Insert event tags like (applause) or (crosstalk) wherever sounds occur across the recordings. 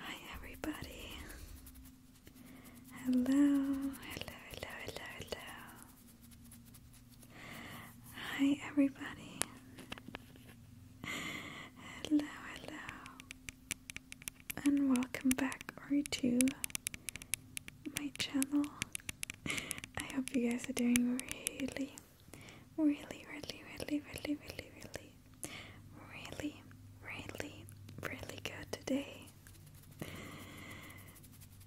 Hi everybody. Hello, hello, hello, hello, hello. Hi everybody. Hello, and welcome back or to my channel. I hope you guys are doing really, really, really, really, really, really, really, really, really, really good today.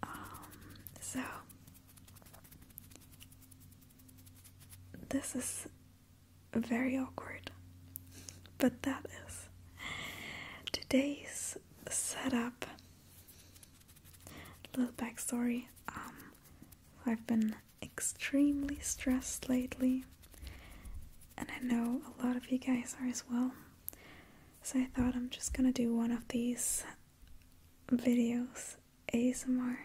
Um, so this is very awkward. But that is today's setup. Little backstory. Um, I've been extremely stressed lately, and I know a lot of you guys are as well. So I thought I'm just gonna do one of these videos ASMR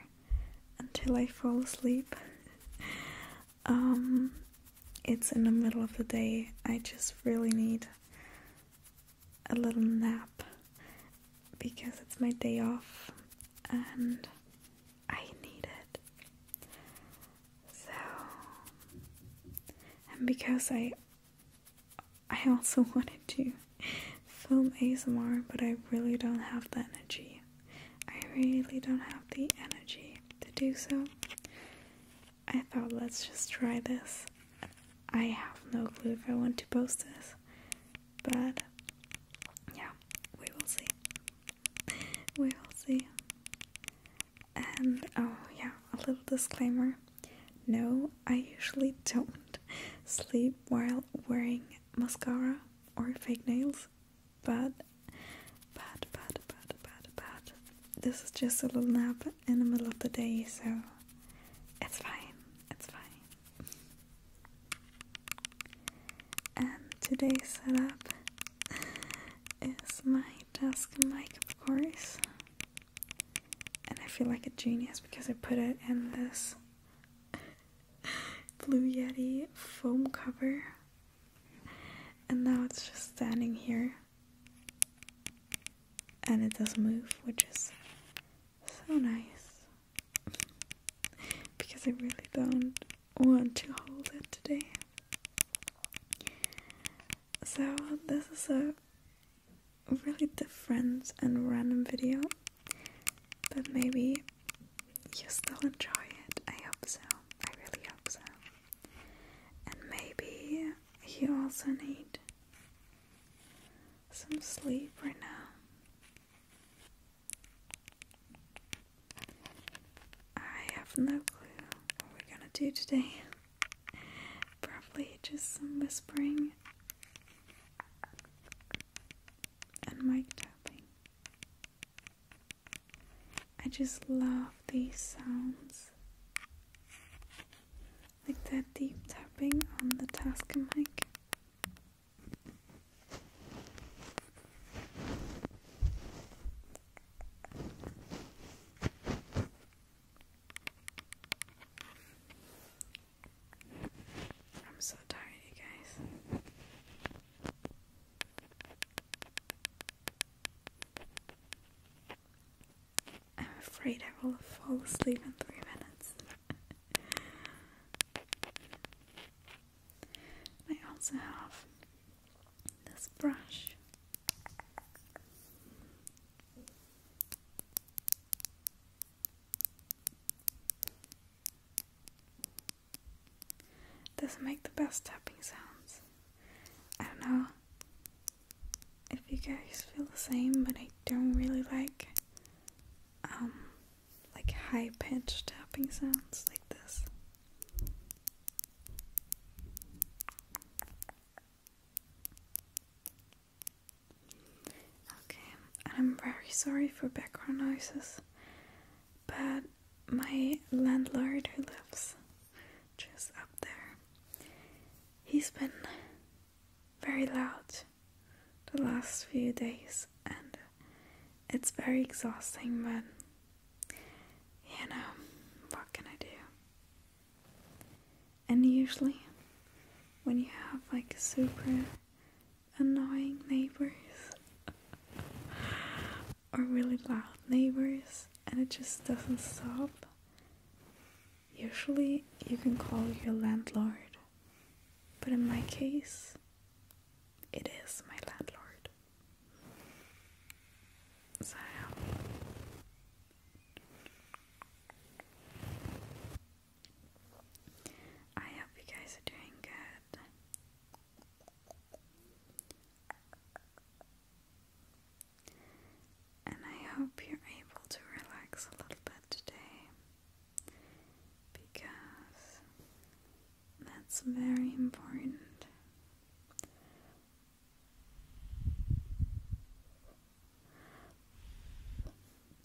until I fall asleep. Um, it's in the middle of the day. I just really need a little nap because it's my day off and I need it. So, and because I I also (laughs) wanted to film ASMR, but I really don't have the energy. I really don't have the energy to do so. I thought let's just try this. I have no clue if I want to post this, but yeah, we will see. (laughs) We will see. And oh, yeah, a little disclaimer no, I usually don't sleep while wearing mascara or fake nails, but bad, bad, bad, bad, bad. This is just a little nap in the middle of the day, so it's fine, it's fine. And today's setup is my desk mic, of course. And I feel like a genius because I put it in this (laughs) Blue Yeti foam cover and now it's just standing here and it doesn't move, which is so nice because I really don't want to hold it today. So, this is a really different and random video, but maybe you still enjoy it. I hope so. I really hope so. And maybe you also need some sleep right now. I have no clue what we're gonna do today. Probably just some whispering and mic tapping. I just love these sounds. Like that deep tapping on the Tasker mic. I'm so tired, you guys. I'm afraid I will fall asleep in three minutes. (laughs) I also have this brush. does make the best tapping sounds. I don't know if you guys feel the same, but I don't really like um like high pitched tapping sounds like this. Okay, I'm very sorry for background noises, but my landlord who lives just up there. He's been very loud the last few days, and it's very exhausting, but you know, what can I do? And usually, when you have like super annoying neighbors, or really loud neighbors and it just doesn't stop, usually you can call your landlord. But in my case, it is my landlord. So, I hope you guys are doing good. And I hope you're able to relax a little bit today because that's very important.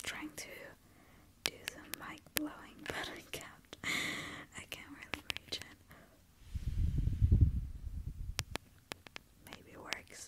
Trying to do the mic blowing, (laughs) but I can't. I can't really reach it. Maybe it works.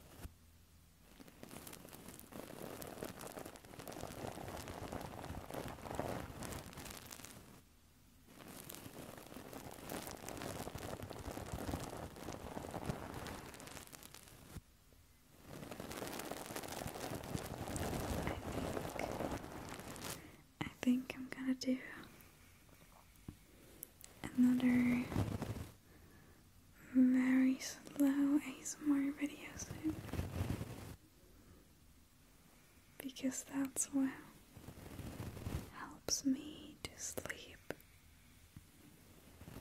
I think I'm gonna do another very slow ASMR videos in because that's what helps me to sleep.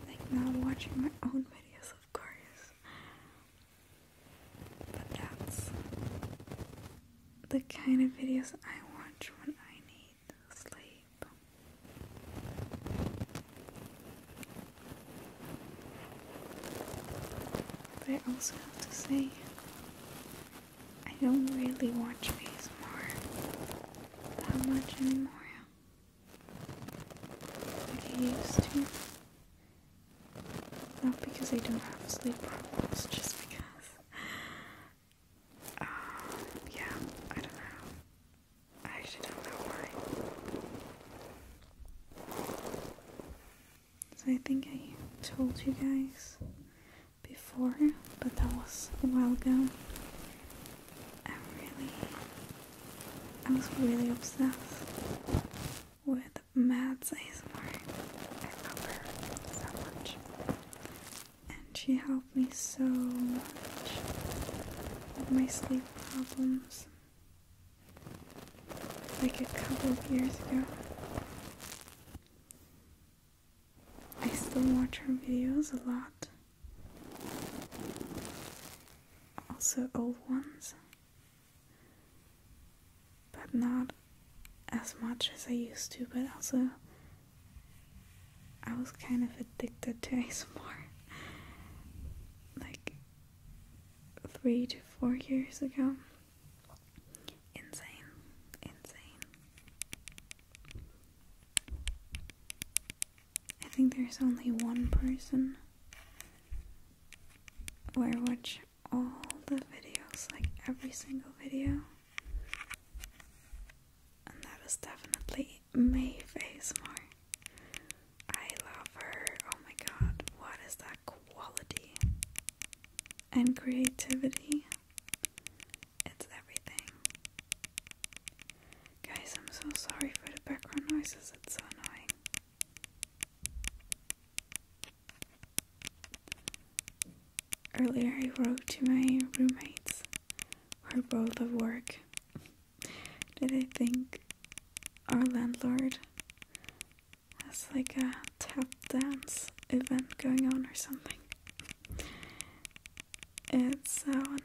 Like not watching my own videos, of course, but that's the kind of videos I watch when I need sleep. I also have to say, I don't really watch ASMR that much anymore. Like I used to. Not because I don't have sleep problems, just because um, yeah, I don't know. I actually don't know why. So I think I told you guys before, but that was a while ago. I really, I was really obsessed with Mads ASMR. I love her so much and she helped me so much with my sleep problems like a couple of years ago. I still watch her videos a lot, also old ones, but not as much as I used to, but also I was kind of addicted to ASMR like three to four years ago. Insane, insane. I think there's only one person where I watch all the videos, like every single video, and that was definitely May face more. I love her. Oh my god, what is that quality and creativity? It's everything. Guys, I'm so sorry for the background noises, it's so annoying. Earlier, I wrote to my roommates or both of work. Did I think our landlord has like a tap dance event going on or something? It's so annoying.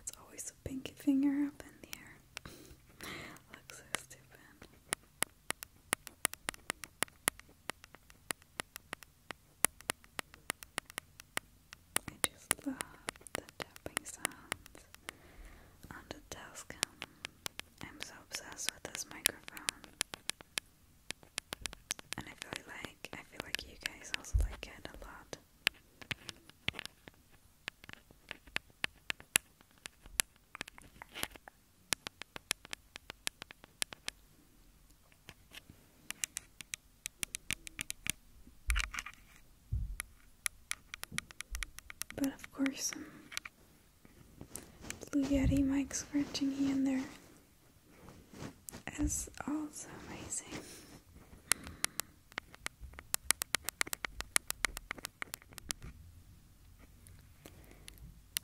It's always a pinky finger up in the air. Looks so stupid. I just love the tapping sounds on the Tascam. I'm so obsessed with this microphone. And I feel like I feel like you guys also like it a lot. But of course, um, Blue Yeti Mike's Virginie in there is also amazing.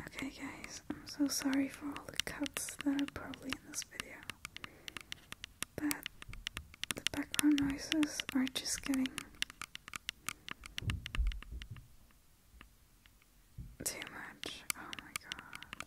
Okay guys, I'm so sorry for all the cuts that are probably in this video. But the background noises are just getting too much. Oh my god.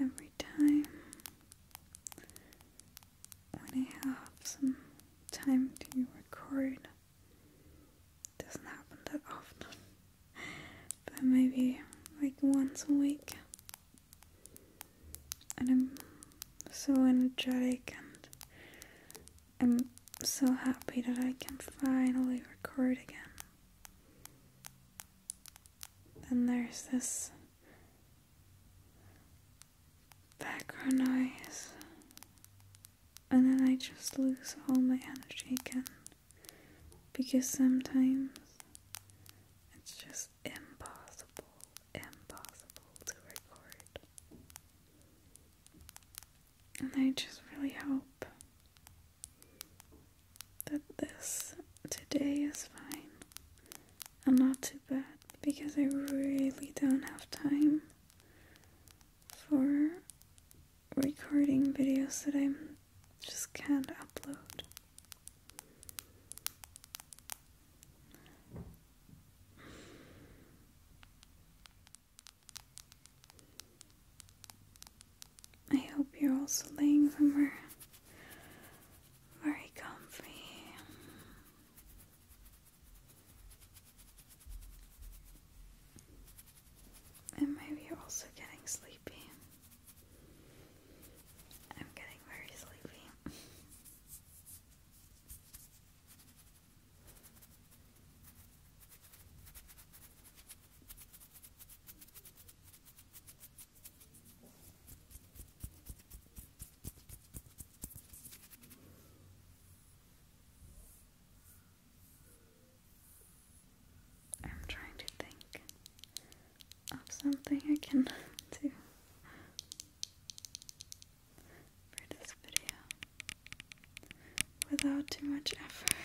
Every time when I have some time to record. It doesn't happen that often, (laughs) but maybe like once a week. And I'm so energetic and I'm so happy that I can finally record again. Then there's this background noise, and then I just lose all my energy again because sometimes it's just impossible, impossible to record. And I just really hope that this today is fine I'm not too bad because I really don't have time for recording videos that I just can't upload. I hope you're also laying somewhere very comfy. And maybe you're also getting sleepy. I'm getting very sleepy. I'm trying to think of something I can (laughs) do for this video without too much effort. (laughs)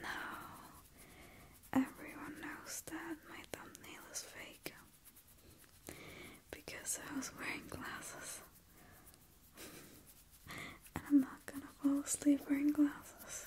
Now everyone knows that my thumbnail is fake because I was wearing glasses. (laughs) and I'm not gonna fall asleep wearing glasses.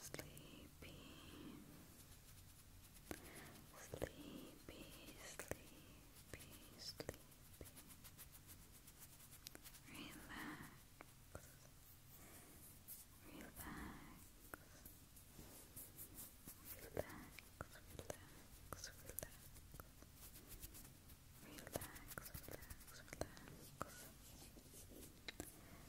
sleepy, sleepy, sleepy, sleepy. Relax. Relax, relax, relax, relax, relax, relax, relax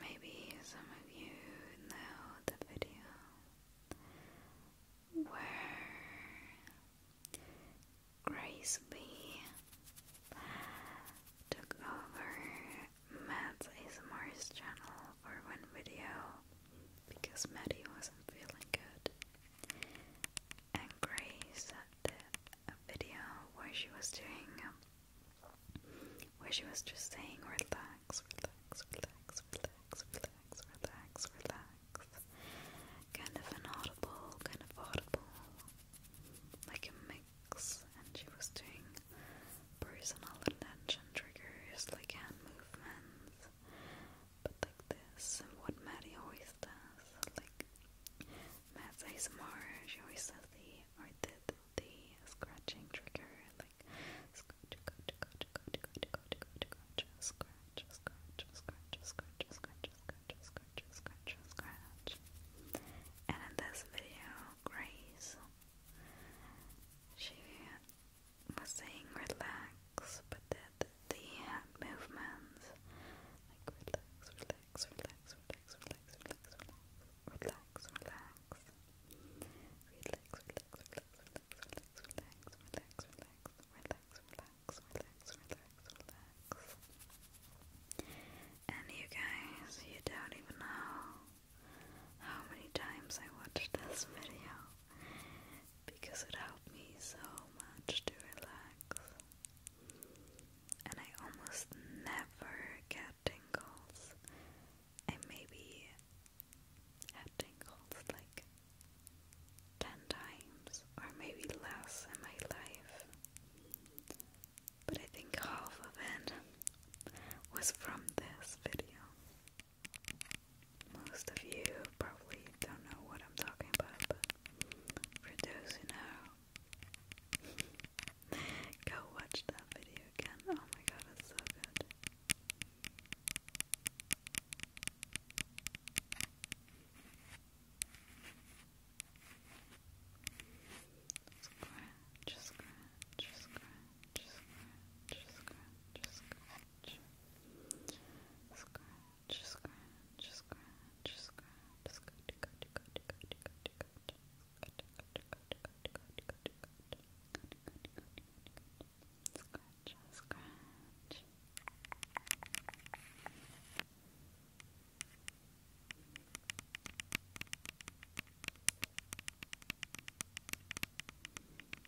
Maybe some of you know the video where Grace took over Matt's ASMR's channel or one video because Maddie wasn't feeling good. And Grace did a video where she was doing, um, where she was just saying, relax, relax, relax, relax, relax, relax, relax. Kind of an audible, kind of audible, like a mix. And she was doing personal attention triggers like hand movements. But like this, what Maddie always does, like Matt's ASMR, she always does the or the, the scratching trigger, like scratch, scratch, scratch, scratch, scratch, scratch, scratch, scratch, scratch, scratch, scratch, scratch, scratch, scratch. And in this video, Grace, she was saying relax, but did the hand movements like relax, relax, relax, relax, relax, relax, relax, relax, relax. Relax, relax, relax, relax, relax, relax, relax, relax, relax, relax, relax, relax. And you guys, you don't even know how many times I watched this video because it helped me so much to relax. And I almost never get tingles. I maybe had tingles like 10 times or maybe less in my life. But I think half of it was from this video. Most of you probably don't know what I'm talking about, but for those who know, (laughs) go watch that video again. Oh my god, it's so good. Scratch, scratch, scratch scratch, scratch. Scratch, scratch, scratch, scratch, scratch, cut, cut, cut, cut, cut, Scratch, scratch. Scratch,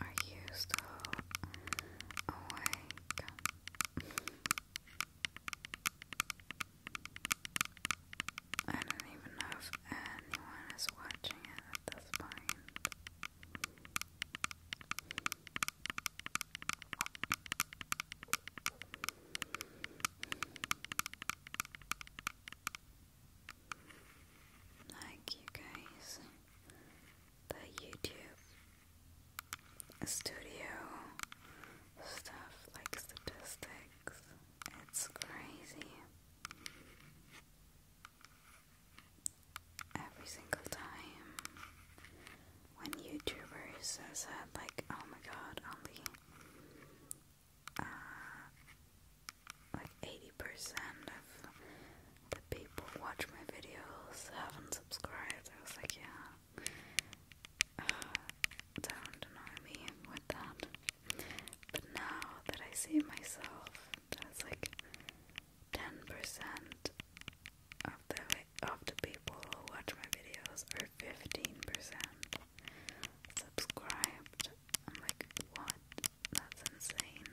Are you still awake? I don't even know if anyone is watching it at this point. Like you guys the YouTube studio stuff, like statistics. It's crazy. Every single time when YouTubers said, like, oh my god, only like 80% of the people who watch my videos haven't subscribed. I was like, yeah, uh, don't annoy me with that. But now that I see myself, that's like 10% of the of the people who watch my videos are 15% subscribed. I'm like, what? That's insane.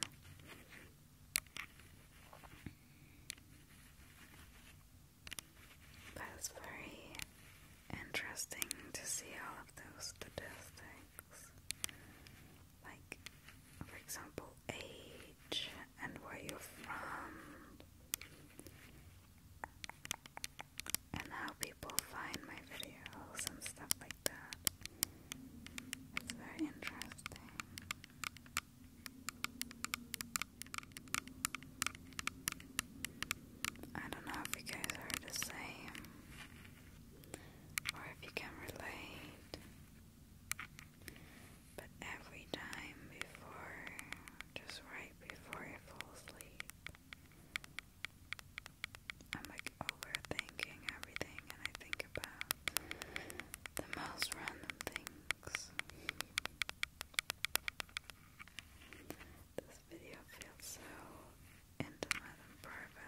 That's very interesting to see all of those statistics. Like, for example, age and where you're from, and how people find my videos and stuff like that. It's very interesting. I don't know if you guys are the same or if you can relate, but every time before, just right before you fall asleep, I'm like overthinking everything, and I think about the most random things. This video feels so intimate and private.